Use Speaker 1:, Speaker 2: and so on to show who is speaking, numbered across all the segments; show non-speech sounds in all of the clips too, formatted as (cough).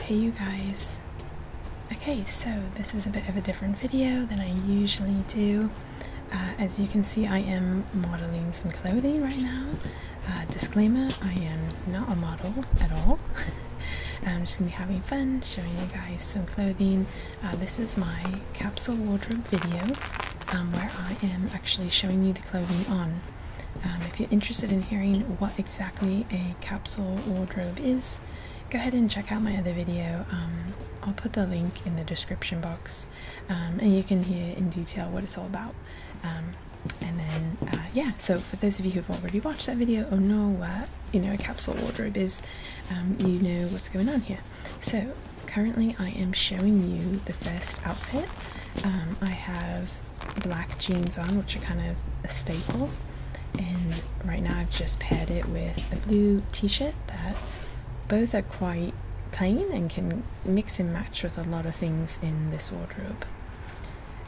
Speaker 1: Hey you guys. Okay, so this is a bit of a different video than I usually do. Uh, as you can see, I am modeling some clothing right now. Uh, disclaimer, I am not a model at all. (laughs) I'm just gonna be having fun, showing you guys some clothing uh, this is my capsule wardrobe video um, where I am actually showing you the clothing on. Um, if you're interested in hearing what exactly a capsule wardrobe is, go ahead and check out my other video. Um, I'll put the link in the description box and you can hear in detail what it's all about. and then, uh, yeah, so for those of you who've already watched that video or know what, you know, a capsule wardrobe is, you know what's going on here. So currently I am showing you the first outfit. Um, I have black jeans on, which are kind of a staple, and right now I've just paired it with a blue t-shirt that both are quite plain and can mix and match with a lot of things in this wardrobe.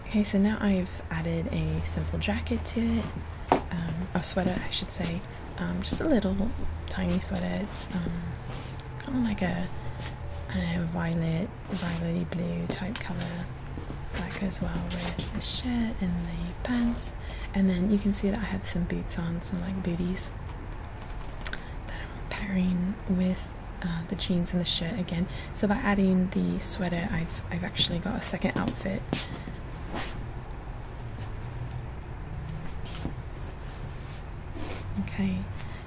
Speaker 1: Okay, so now I've added a simple jacket to it, um, or sweater I should say, um, just a little tiny sweater. um, kind of like a I don't violet, violety blue type color. That goes well with the shirt and the pants. And then you can see that I have some boots on, some like booties that I'm pairing with uh, the jeans and the shirt again. So by adding the sweater, I've I've actually got a second outfit Okay,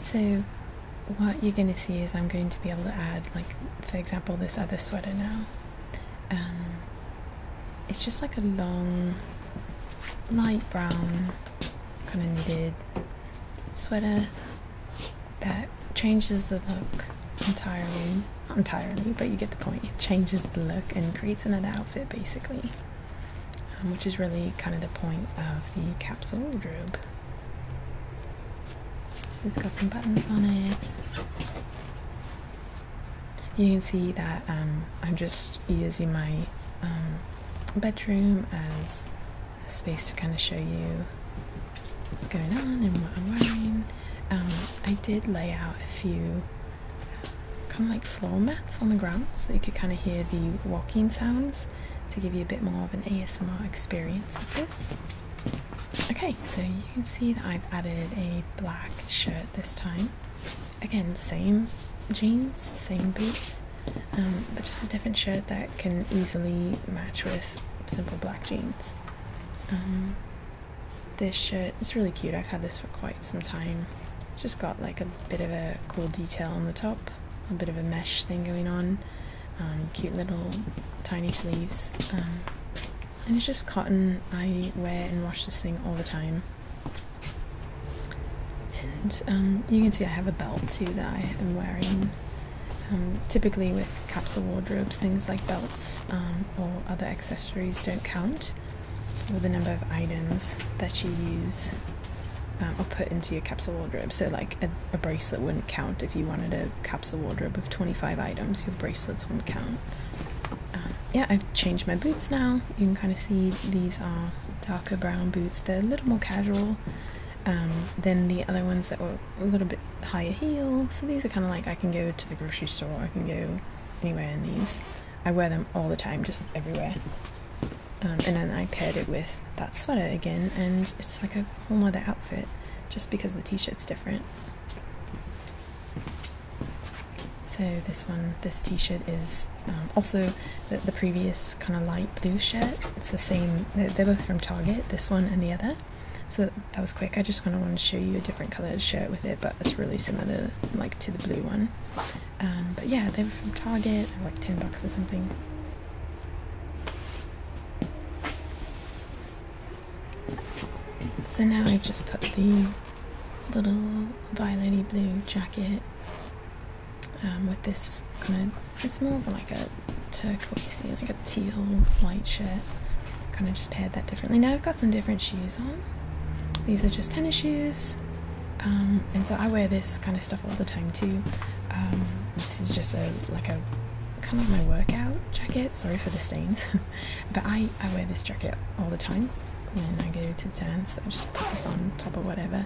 Speaker 1: so what you're going to see is I'm going to be able to add, like, for example, this other sweater now. Um, it's just like a long, light brown, kind of knitted sweater that changes the look entirely. Not entirely, but you get the point. It changes the look and creates another outfit, basically. Um, which is really kind of the point of the capsule wardrobe. it's got some buttons on it. You can see that um, I'm just using my um, bedroom as a space to kind of show you what's going on and what I'm wearing. I did lay out a few kind of like floor mats on the ground so you could kind of hear the walking sounds to give you a bit more of an ASMR experience with this. Okay, so you can see that I've added a black shirt this time. Again, same jeans, same boots, um, but just a different shirt that can easily match with simple black jeans. Um, this shirt. It's really cute. I've had this for quite some time. just got like a bit of a cool detail on the top, a bit of a mesh thing going on, um, cute little tiny sleeves. Um, and it's just cotton. I wear and wash this thing all the time. And um, you can see I have a belt too that I am wearing. typically with capsule wardrobes, things like belts or other accessories don't count with the number of items that you use um, or put into your capsule wardrobe. So, like a, bracelet wouldn't count if you wanted a capsule wardrobe of 25 items, your bracelets wouldn't count. Um, yeah, I've changed my boots now. You can kind of see these are darker brown boots, they're a little more casual. Um, than the other ones that were a little bit higher heel. So these are kind of like I can go to the grocery store, I can go anywhere in these. I wear them all the time, just everywhere. Um, and then I paired it with that sweater again, and it's like a whole other outfit just because the t shirt's different. So this one, this t-shirt is um, also the, previous kind of light blue shirt. It's the same, they're, both from Target, this one and the other. So that was quick. I just kind of wanted to show you a different colored shirt with it that's really similar like to the blue one. Um, but yeah, they were from Target. like ten bucks or something. So now I've just put the little violety blue jacket um, with this kind of it's more of like a turquoisey, like a teal white shirt. Kind of just paired that differently. Now I've got some different shoes on. These are just tennis shoes. Um, and so I wear this kind of stuff all the time too. Um, this is just a like a kind of my workout jacket. Sorry for the stains, (laughs) but I I wear this jacket all the time when I go to dance. I just put this on top of whatever,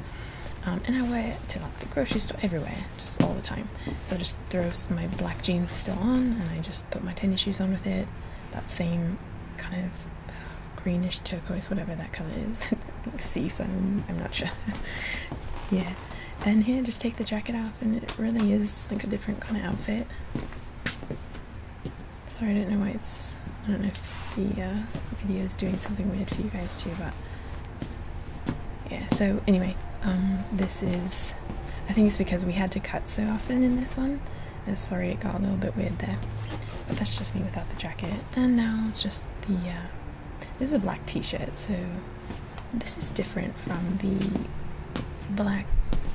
Speaker 1: um, and I wear it to like the grocery store everywhere, just all the time. So I just throw my black jeans still on, and I just put my tennis shoes on with it. That same kind of uh, greenish turquoise, whatever that color is, (laughs) like sea foam. I'm not sure. (laughs) yeah, and here, just take the jacket off, and it really is like a different kind of outfit. Sorry, I don't know why it's. I don't know if uh, the video is doing something weird for you guys too, but yeah. So anyway, um, this is. I think it's because we had to cut so often in this one uh, sorry it got a little bit weird there, but that's just me without the jacket. And now just the uh, this is a black T-shirt, so this is different from the black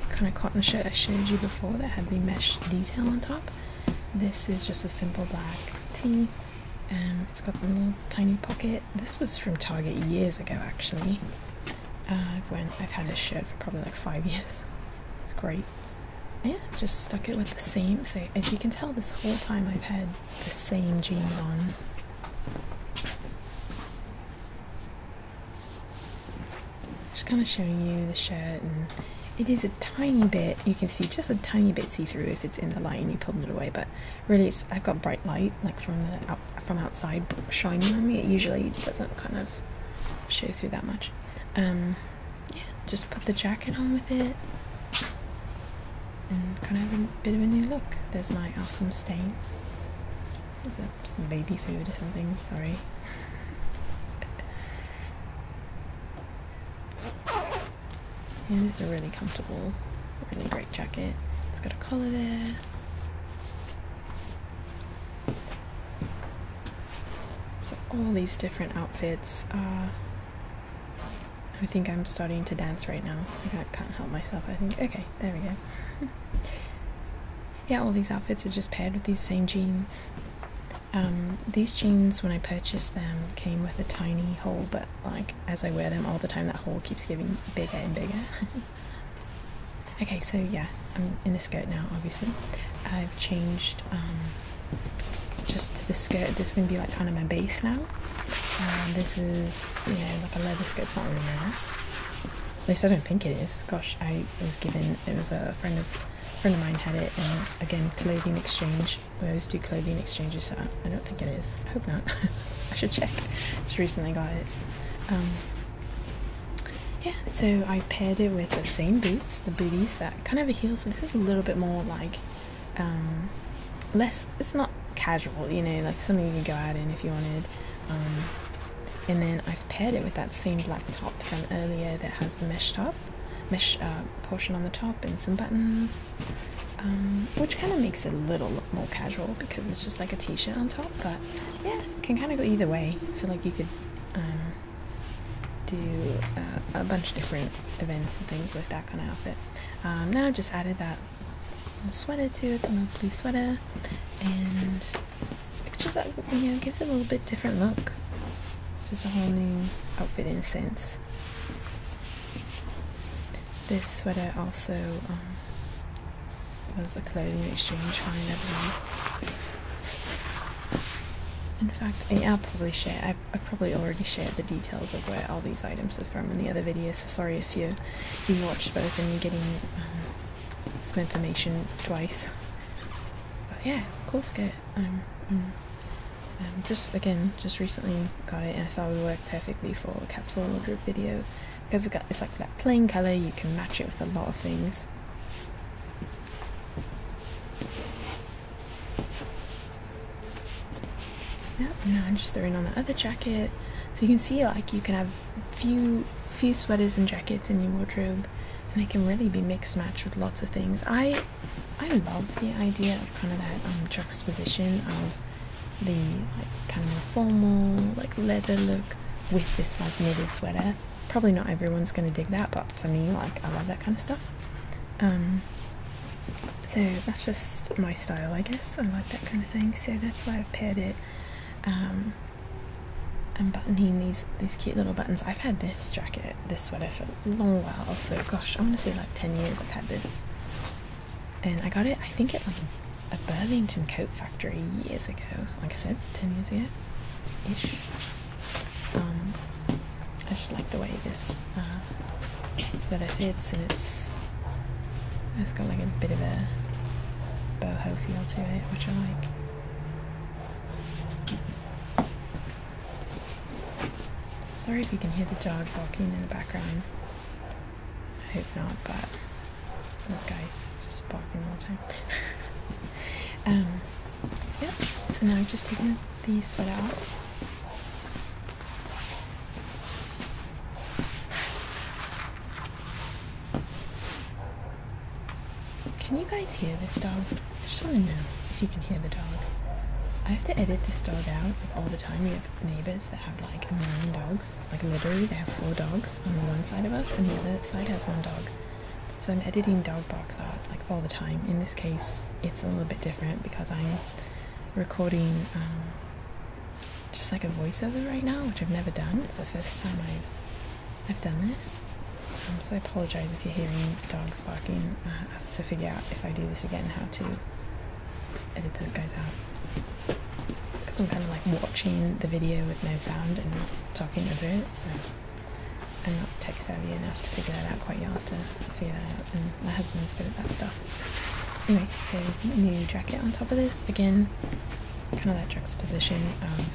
Speaker 1: kind of cotton shirt I showed you before that had the mesh detail on top. This is just a simple black T, and it's got the little tiny pocket. This was from Target years ago, actually. Uh, I've had this shirt for probably like five (laughs) years. It's great yeah, just stuck it with the same. Say, as you can tell, this whole time I've had the same jeans on. Just kind of showing you the shirt, and it is a tiny bit. You can see just a tiny bit see-through if it's in the light and you pulled it away. But really, it's I've got bright light like from the from outside shining on me. It usually doesn't kind of show through that much. Um, yeah, just put the jacket on with it and kind of have a bit of a new look. There's my awesome stains. There's a, some baby food or something, sorry. And this a really comfortable, really great jacket. It's got a collar there. So all these different outfits. Uh, I think I'm starting to dance right now. I can't help myself. I think okay, there we go. (laughs) yeah, all these outfits are just paired with these same jeans. Um, these jeans, when I purchased them, came with a tiny hole, but like as I wear them all the time, that hole keeps getting bigger and bigger. (laughs) Okay, so yeah, I'm in a skirt now, obviously. I've changed um, just to this skirt. This is going to be like kind of my base now. Um, this is, you know, like a leather skirt. It's not really At least I don't think it is. Gosh, I was given, it was a friend of, friend of mine had it. And again, clothing exchange. We always do clothing exchanges, so I don't think it is. I hope not. (laughs) I should check. Just recently got it. Um, yeah, so I paired it with the same boots, the booties that kind of a heel. So this is a little bit more like um, less. It's not casual, you know, like something you could go out in if you wanted. Um, and then I've paired it with that same black top from earlier that has the mesh top, mesh uh, portion on the top, and some buttons. Um, which kind of makes it a little more casual because it's just like a t-shirt on top but yeah can kind of go either way I feel like you could do uh, a bunch of different events and things with that kind of outfit. Um, now I just added that sweater to it, the blue sweater, and just uh, you know gives it a little bit different look. It's just a whole new outfit in a sense. This sweater also um, was a clothing exchange find, I in fact, i probably share. I, probably already shared the details of where all these items are from in the other videos. sorry if you you watched both and you're getting um, some information twice. But yeah, of course, um, um, um, just again, just recently got it, and I thought it would work perfectly for a capsule wardrobe video because it's like that plain color. You can match it with a lot of things. No, now I'm just throwing on the other jacket. So you can see like you can have few few sweaters and jackets in your wardrobe and they can really be mixed match with lots of things. I I love the idea of kind of that um, juxtaposition of the like kind of more formal like leather look with this like knitted sweater probably not everyone's going to dig that, but for me, like, I love that kind of stuff. Um, so that's just my style, I guess. I like that kind of thing, so that's why I've paired it. Um, and buttoning these these cute little buttons. I've had this jacket, this sweater for a long while. So, gosh, I want to say like ten years. I've had this, and I got it. I think at like a Burlington coat factory years ago. Like I said, ten years ago. Um, I just like the way this uh, sort of fits, and it's it's got like a bit of a boho feel to it, which I like. Sorry if you can hear the dog barking in the background. I hope not, but those guys just barking all the time. (laughs) Um, yeah, so now I've just taken the sweat out. Can you guys hear this dog? I just want to know if you can hear the dog. I have to edit this dog out like, all the time. We have neighbors that have like nine dogs. Like literally, they have four dogs on one side of us, and the other side has one dog. So I'm editing dog box art like all the time. In this case, it's a little bit different because I'm recording um, just like a voiceover right now, which I've never done. It's the first time I've I've done this. Um, so I apologize if you're hearing dogs barking. I have to figure out if I do this again how to edit those guys out because I'm kind of like watching the video with no sound and talking over it. So. I'm not tech savvy enough to figure that out quite. You have to figure that out, and my husband's good at that stuff. Anyway, so new jacket on top of this again, kind of that juxtaposition of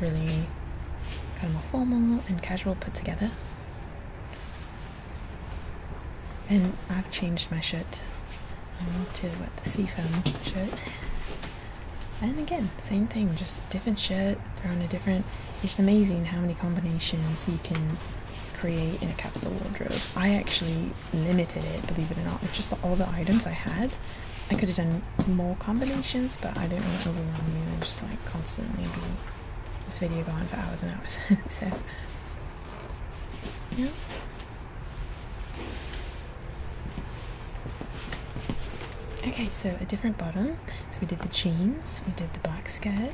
Speaker 1: really kind of more formal and casual put together. And I've changed my shirt um, to what the foam shirt. And again, same thing, just different shirt, throw in a different. It's amazing how many combinations you can create in a capsule wardrobe. I actually limited it, believe it or not, It's just all the items I had. I could have done more combinations, but I didn't want to overwhelm you and just like constantly be this video going for hours and hours. (laughs) so, yeah. Okay, so a different bottom. So we did the jeans, we did the black skirt,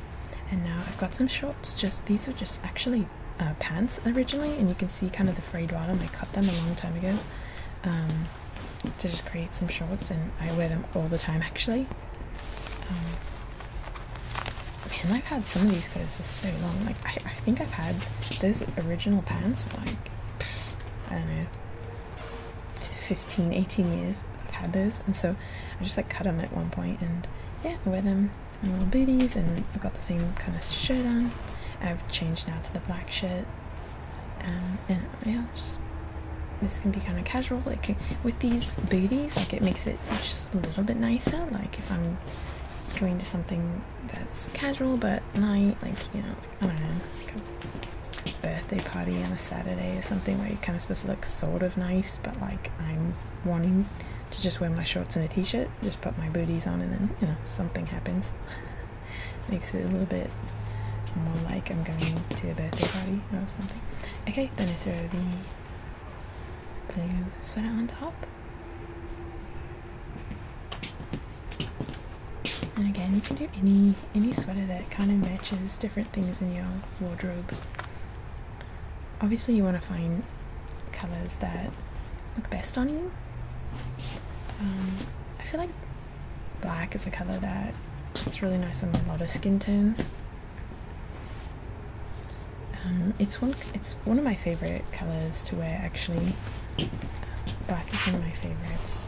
Speaker 1: and now I've got some shorts. Just these were just actually uh, pants originally, and you can see kind of the frayed bottom. I cut them a long time ago um, to just create some shorts, and I wear them all the time actually. Um, man, I've had some of these clothes for so long. Like I think I've had those original pants for like I don't know 15, 18 years I've had those, and so I just like cut them at one point, and yeah, I wear them in little booties, and I've got the same kind of shirt on. I've changed now to the black shirt, um, and yeah, just this can be kind of casual. Like with these booties, like it makes it just a little bit nicer. Like if I'm going to something that's casual but night, like you know, I don't know, birthday party on a Saturday or something where you're kind of supposed to look sort of nice, but like I'm wanting to just wear my shorts and a t-shirt, just put my booties on, and then you know something happens. Makes it a little bit more like I'm going to a birthday party or something. Okay, then I throw the blue sweater on top. And again, you can do any any sweater that kind of matches different things in your wardrobe. Obviously, you want to find colors that look best on you. Um, I feel like black is a color that looks really nice on a lot of skin tones. Um, it's one it's one of my favorite colors to wear actually. Black is one of my favorites.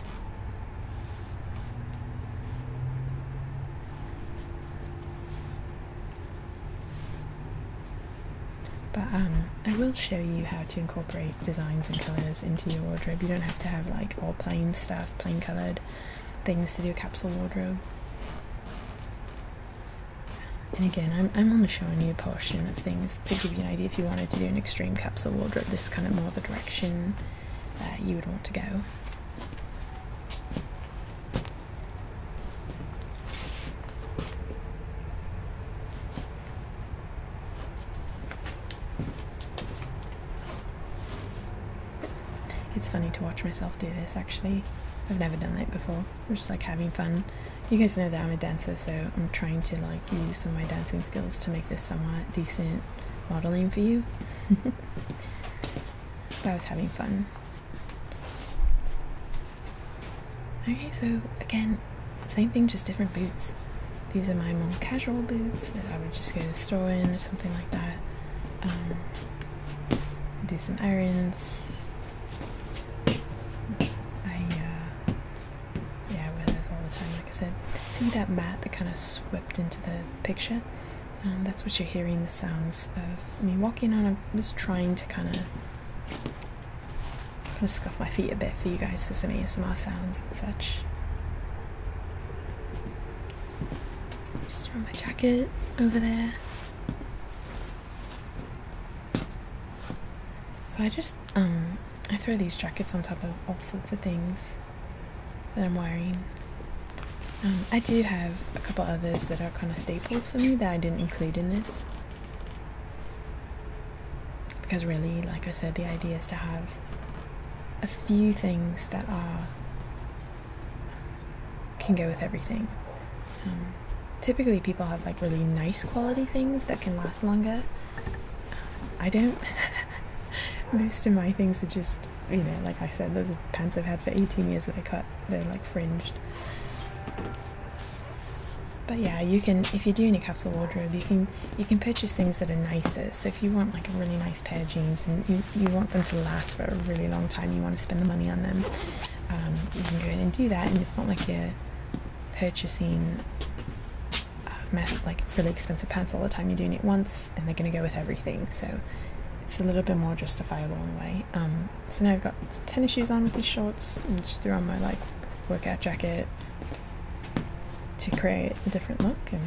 Speaker 1: But um, I will show you how to incorporate designs and colours into your wardrobe. You don't have to have like all plain stuff, plain coloured things to do a capsule wardrobe. And again, I'm, I'm only showing you a portion of things to give you an idea, if you wanted to do an extreme capsule wardrobe, this is kind of more the direction uh, you would want to go. It's funny to watch myself do this actually. I've never done that before. I'm just like having fun. You guys know that I'm a dancer, so I'm trying to like use some of my dancing skills to make this somewhat decent modeling for you. (laughs) I was having fun. Okay, so again, same thing, just different boots. These are my more casual boots that I would just go to the store in or something like that. Um, do some errands. I uh, yeah, with wear all the time, like I said. See that mat that kind of swept into the picture? Um, that's what you're hearing the sounds of me walking on. I'm just trying to kind of kind of scuff my feet a bit for you guys for some ASMR sounds and such. Just throw my jacket over there. So I just um I throw these jackets on top of all sorts of things that I'm wearing. Um, I do have a couple others that are kind of staples for me that I didn't include in this. Because, really, like I said, the idea is to have a few things that are can go with everything. Um, typically, people have like really nice quality things that can last longer, I don't. (laughs) Most of my things are just, you know, like I said, those are pants I've had for 18 years that I cut. They're like fringed. But yeah, you can if you do doing a capsule wardrobe, you can you can purchase things that are nicer. So if you want like a really nice pair of jeans and you, you want them to last for a really long time, you want to spend the money on them, um, you can go in and do that. And it's not like you're purchasing a mess, like really expensive pants all the time. You're doing it once, and they're going to go with everything. So it's a little bit more justifiable in a way. Um, so now I've got tennis shoes on with these shorts, and just threw on my like workout jacket to create a different look and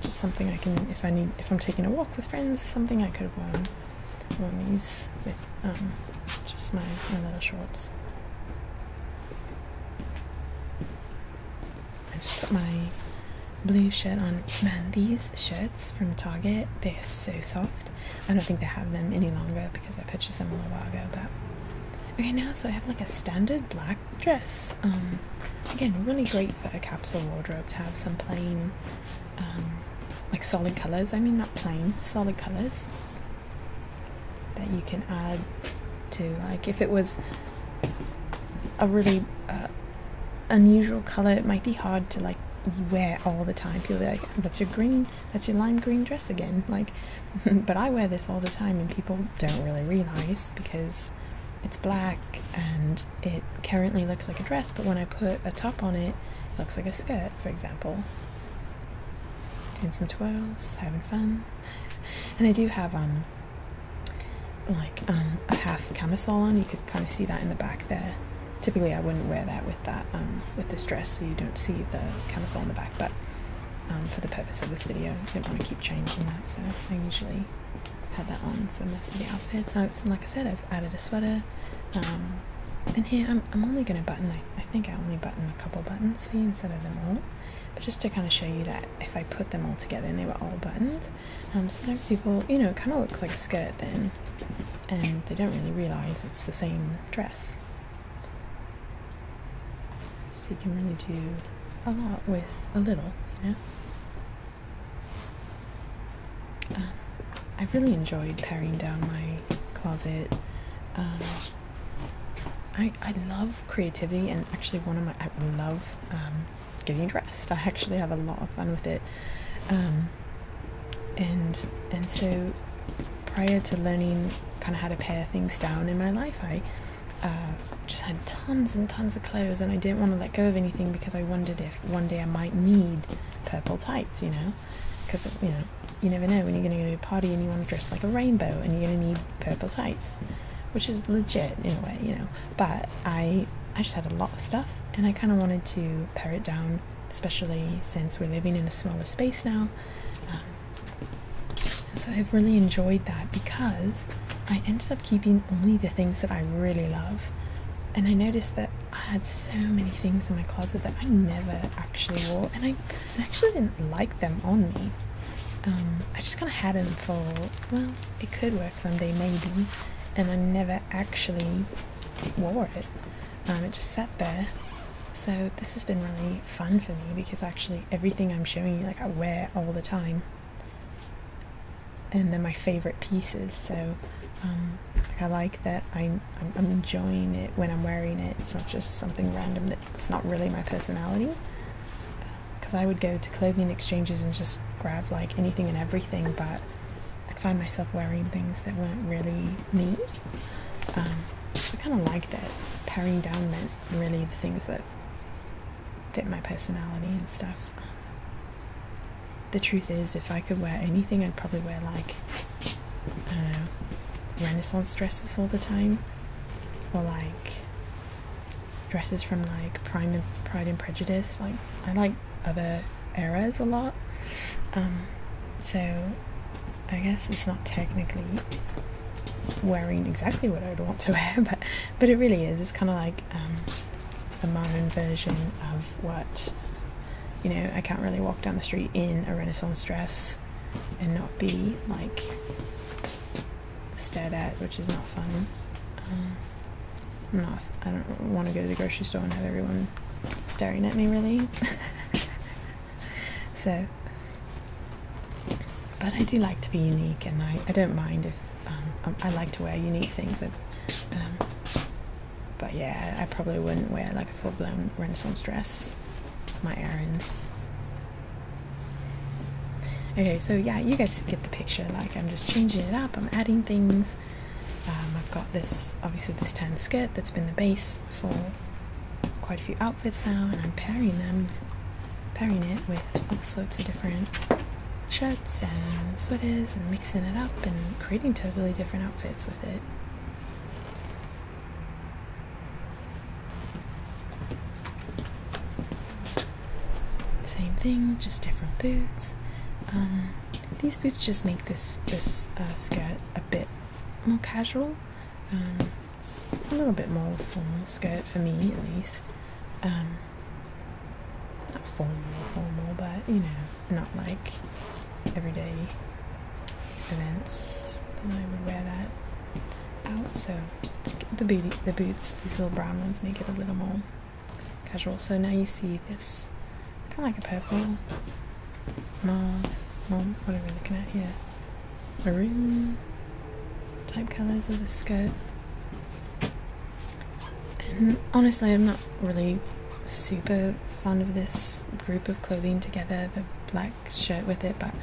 Speaker 1: just something I can, if I need, if I'm taking a walk with friends, something I could have worn, worn these with um, just my, my little shorts. I just put my blue shirt on. Man, these shirts from Target, they are so soft. I don't think they have them any longer because I purchased them a while ago, but okay now so I have like a standard black dress. Um again really great for a capsule wardrobe to have some plain um like solid colours. I mean not plain, solid colours that you can add to. Like if it was a really uh, unusual color, it might be hard to like wear all the time. People be like, "That's your green, that's your lime green dress again." Like, (laughs) but I wear this all the time, and people don't really realize because it's black and it currently looks like a dress. But when I put a top on it, it looks like a skirt, for example doing some twirls, having fun. And I do have um like um, a half camisole on. You could kind of see that in the back there. Typically I wouldn't wear that with that um, with this dress so you don't see the camisole in the back, but um, for the purpose of this video, I don't want to keep changing that, so I usually have that on for most of the outfits. So like I said, I've added a sweater. and here I'm, I'm only going to button. I, I think I only button a couple buttons for you instead of them all. But just to kind of show you that if I put them all together and they were all buttoned, um, sometimes people, you know, kind of looks like skirt then, and they don't really realize it's the same dress. So you can really do a lot with a little, you know. Um, I really enjoyed paring down my closet. Um, I I love creativity and actually one of my I love um, getting dressed. I actually have a lot of fun with it. Um, and and so prior to learning kind of how to pare things down in my life, I uh, just had tons and tons of clothes, and I didn't want to let go of anything because I wondered if one day I might need purple tights, you know, because you know you never know when you're going to go to a party and you want to dress like a rainbow and you're going to need purple tights, which is legit in a way, you know. But I, I just had a lot of stuff and I kind of wanted to pare it down, especially since we're living in a smaller space now. Um, so I've really enjoyed that because I ended up keeping only the things that I really love. And I noticed that I had so many things in my closet that I never actually wore, and I I actually didn't like them on me. Um, I just kind of had them for, well, it could work someday, maybe. And I never actually wore it. Um, it just sat there. So this has been really fun for me because actually everything I'm showing you, like I wear all the time. And they're my favorite pieces, so um, I like that I'm enjoying it when I'm wearing it. It's not just something random that it's not really my personality. Because I would go to clothing exchanges and just grab like anything and everything, but I'd find myself wearing things that weren't really me. Um, I kind of like that paring down meant really the things that fit my personality and stuff. The truth is, if I could wear anything, I'd probably wear like uh, Renaissance dresses all the time, or like dresses from like Prime and Pride and Prejudice. Like I like other eras a lot, um, so I guess it's not technically wearing exactly what I would want to (laughs) wear, but but it really is. It's kind of like um, the modern version of what you know. I can't really walk down the street in a Renaissance dress and not be like stared at, which is not fun. Um, i not, I don't want to go to the grocery store and have everyone staring at me, really. (laughs) so, but I do like to be unique, and I, I don't mind if um, I, like to wear unique things. Um, but yeah, I probably wouldn't wear like a full blown Renaissance dress my errands. Okay, so yeah, you guys get the picture. Like, I'm just changing it up, I'm adding things. Um, I've got this, obviously, this tan skirt that's been the base for quite a few outfits now, and I'm pairing them, pairing it with all sorts of different shirts and sweaters and mixing it up and creating totally different outfits with it. Same thing, just different boots. Uh, these boots just make this this uh, skirt a bit more casual. Um, a little bit more formal skirt for me, at least. Um, not formal, formal, but you know, not like everyday events, then I would wear that out. So the booty, the boots, these little brown ones make it a little more casual. So now you see this kind of like a purple, mauve, mauve, what are we looking at here? Maroon type colours of the skirt. honestly, I'm not really super fond of this group of clothing together. The black shirt with it, but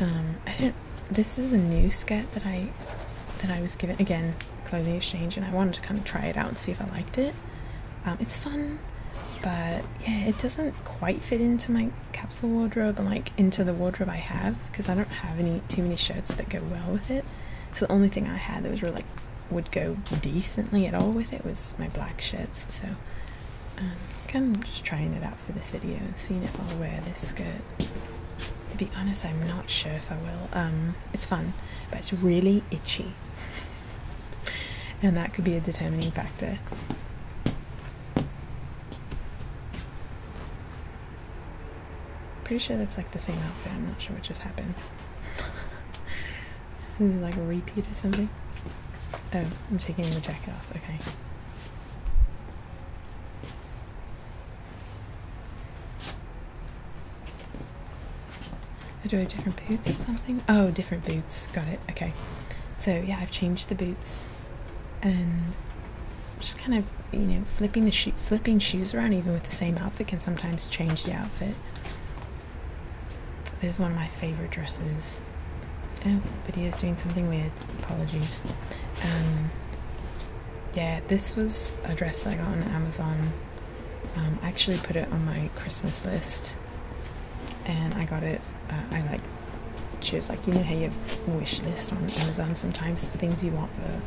Speaker 1: um, I didn't. This is a new skirt that I that I was given again clothing exchange, and I wanted to kind of try it out and see if I liked it. Um, it's fun, but yeah, it doesn't quite fit into my capsule wardrobe and like into the wardrobe I have because I don't have any too many shirts that go well with it. So the only thing I had that was really would go decently at all with it was my black shirts. So and kind of just trying it out for this video and seeing if I'll wear this skirt. To be honest, I'm not sure if I will. Um, it's fun, but it's really itchy, and that could be a determining factor. Pretty sure that's like the same outfit. I'm not sure what just happened. (laughs) This is like a repeat or something. Oh, I'm taking the jacket off, okay. Oh, I do different boots or something? Oh, different boots. Got it. Okay. So yeah, I've changed the boots, and just kind of you know flipping the sho- flipping shoes around even with the same outfit can sometimes change the outfit. This is one of my favorite dresses. Oh, video is doing something weird. Apologies. Um, yeah, this was a dress that I got on Amazon. Um, I actually put it on my Christmas list, and I got it. Uh, I like choose like you know how you wish list on Amazon sometimes the things you want for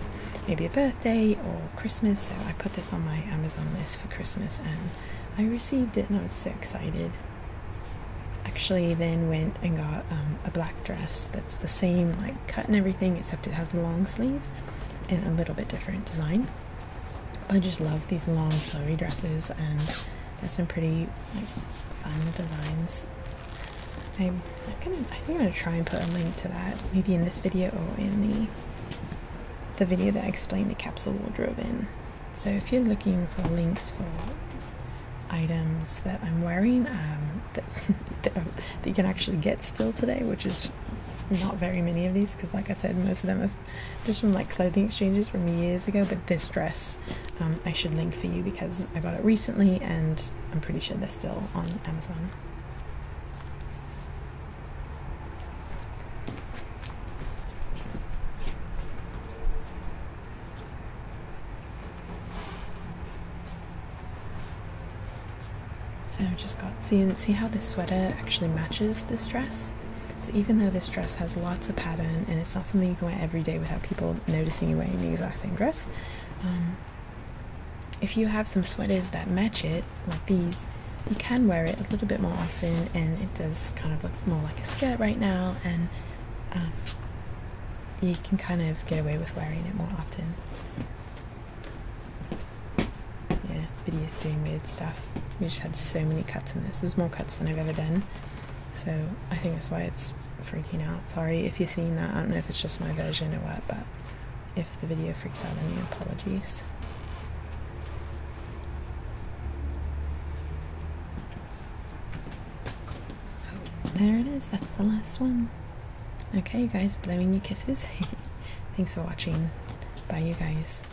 Speaker 1: maybe a birthday or Christmas. So I put this on my Amazon list for Christmas, and I received it, and I was so excited actually then went and got um, a black dress that's the same like cut and everything except it has long sleeves and a little bit different design I just love these long flowy dresses and there's some pretty like fun designs I'm, I'm gonna I think I'm gonna try and put a link to that maybe in this video or in the the video that I explained the capsule wardrobe in so if you're looking for links for items that I'm wearing um, (laughs) that, that, you can actually get still today, which is not very many of these because like I said most of them are just from like clothing exchanges from years ago but this dress um, I should link for you because I got it recently and I'm pretty sure they're still on Amazon so i just got, see, and see how this sweater actually matches this dress? So even though this dress has lots of pattern and it's not something you can wear every day without people noticing you wearing the exact same dress, um, if you have some sweaters that match it, like these, you can wear it a little bit more and it does kind of look more like a skirt right now, and um, you can kind of get away with wearing it more often. Yeah, video is doing weird stuff. We just had so many cuts in this. There's more cuts than I've ever done, so I think that's why it's freaking out. Sorry if you're seeing that. I don't know if it's just my version or what, but if the video freaks out, any apologies. Oh, there it is. That's the last one. Okay, you guys, blowing you kisses. (laughs) Thanks for watching. Bye, you guys.